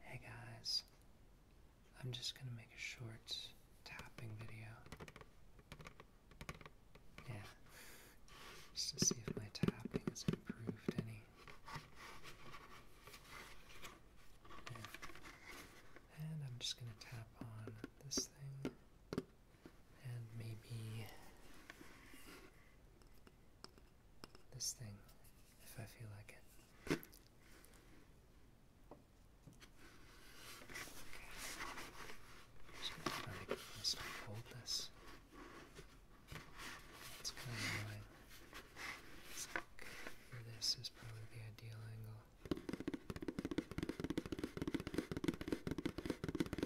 Hey guys, I'm just gonna make a short tapping video. Yeah, just to see if my tapping has improved any. And I'm just gonna tap on this thing and maybe this thing if I feel like it. just gonna hold this. It's kind of annoying. this is probably the ideal angle.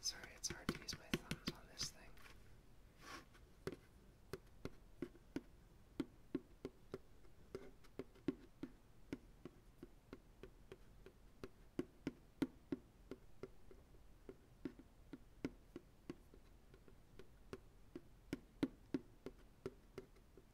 Sorry, it's hard to use my thumbs on this thing.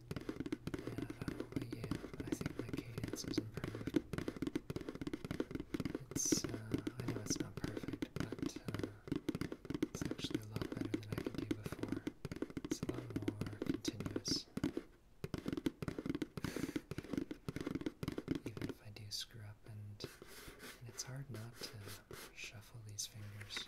And but yeah, I think my cadence was improved. It's, I know it's not perfect, but it's actually a lot better than I could do before. It's a lot more continuous. Even if I do screw up, and it's hard not to shuffle these fingers.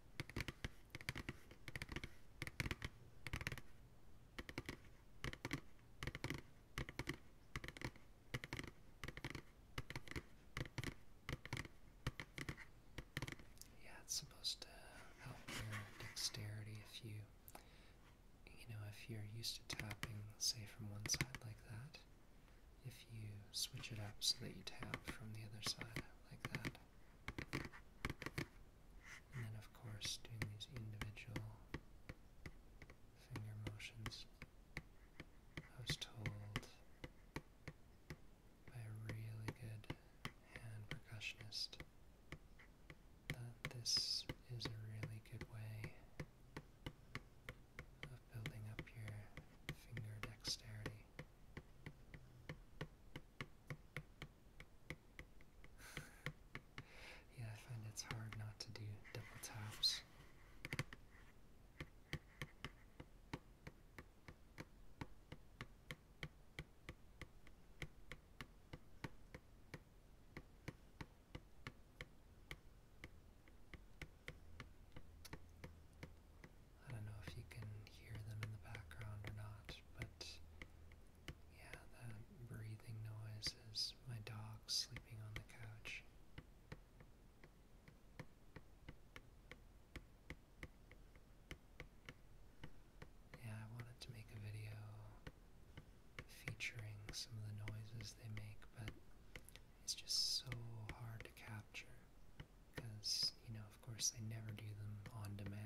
Yeah, it's supposed to help your dexterity if you, you know, if you're used to tapping, say, from one side like that, if you switch it up so that you tap from the other side like that. And then, of course, doing these individual finger motions. I was told by a really good hand percussionist that this is a really good way of building up your finger dexterity yeah, I find it's hard not to do double taps. I don't know if you can hear them in the background or not, but yeah, that breathing noise is my dog sleeping on the couch. Yeah, I wanted to make a video featuring some of the noises they make, but it's just so hard to capture because, you know, of course, they never do them on demand.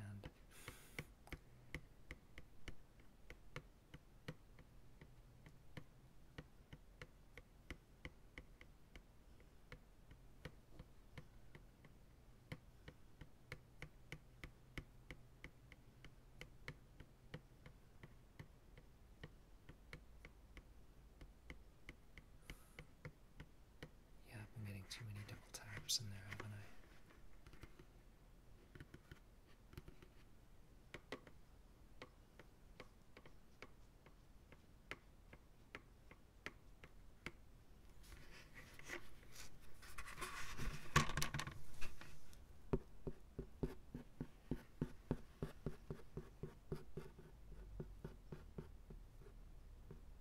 Yeah, I've been getting too many double taps in there, haven't I?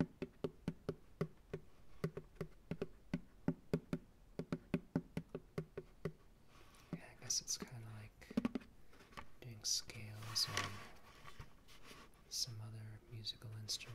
I guess it's kind of like doing scales on some other musical instrument.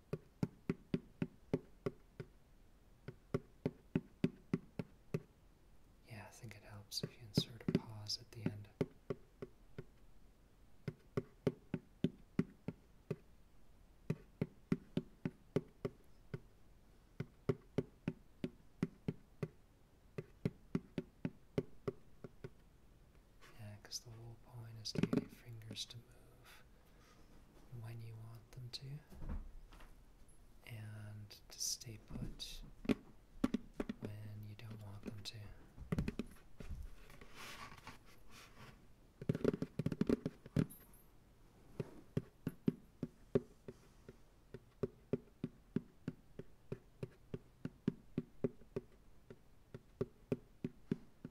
Yeah, I think it helps if you insert a pause at the end. Yeah, because the whole point is to get your fingers to move when you want them to, and to stay put when you don't want them to.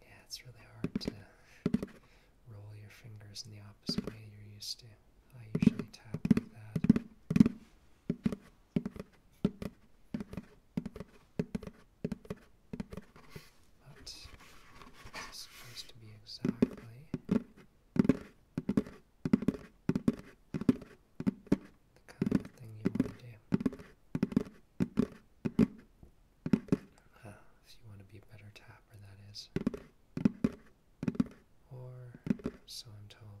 Yeah, it's really hard to roll your fingers in the opposite way you're used to. I usually tap like that. But this is supposed to be exactly the kind of thing you want to do. Ah, if you want to be a better tapper, that is. Or, so I'm told.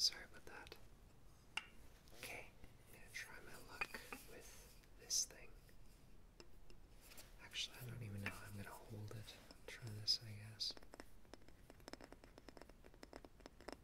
Sorry about that. Okay, gonna try my luck with this thing. Actually, I don't even know. I'm gonna hold it. Try this, I guess.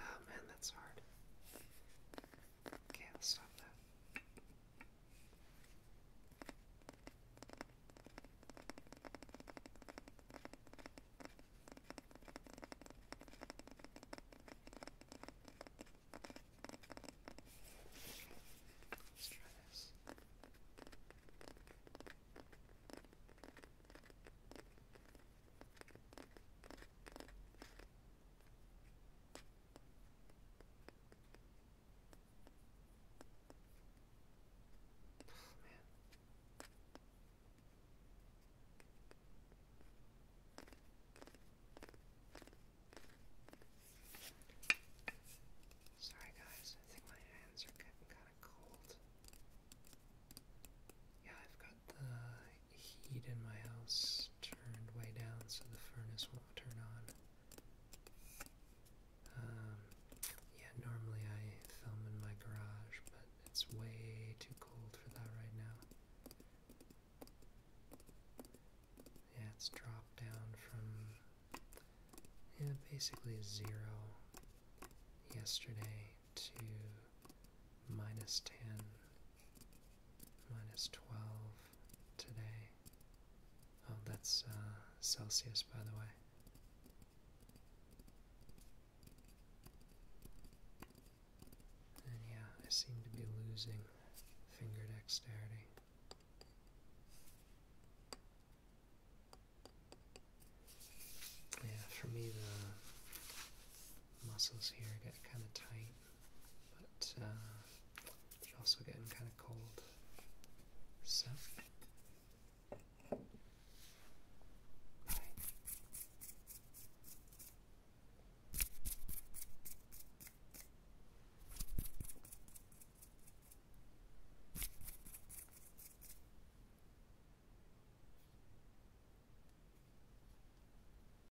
Oh man, that's hard. Okay, I'll stop that. Let's try this. All Sorry, guys, I think my hands are getting kind of cold. Yeah, I've got the heat in my house turned way down so the furnace won't turn on. Um, yeah, normally I film in my garage, but it's way too cold for that right now. Yeah, it's dropped down from yeah, basically zero yesterday to minus 10 minus 12 today. Oh, that's uh, Celsius, by the way. And yeah, I seem to be losing finger dexterity. Yeah, for me, the muscles here get kind of tight, but uh, they also getting kind of cold. So,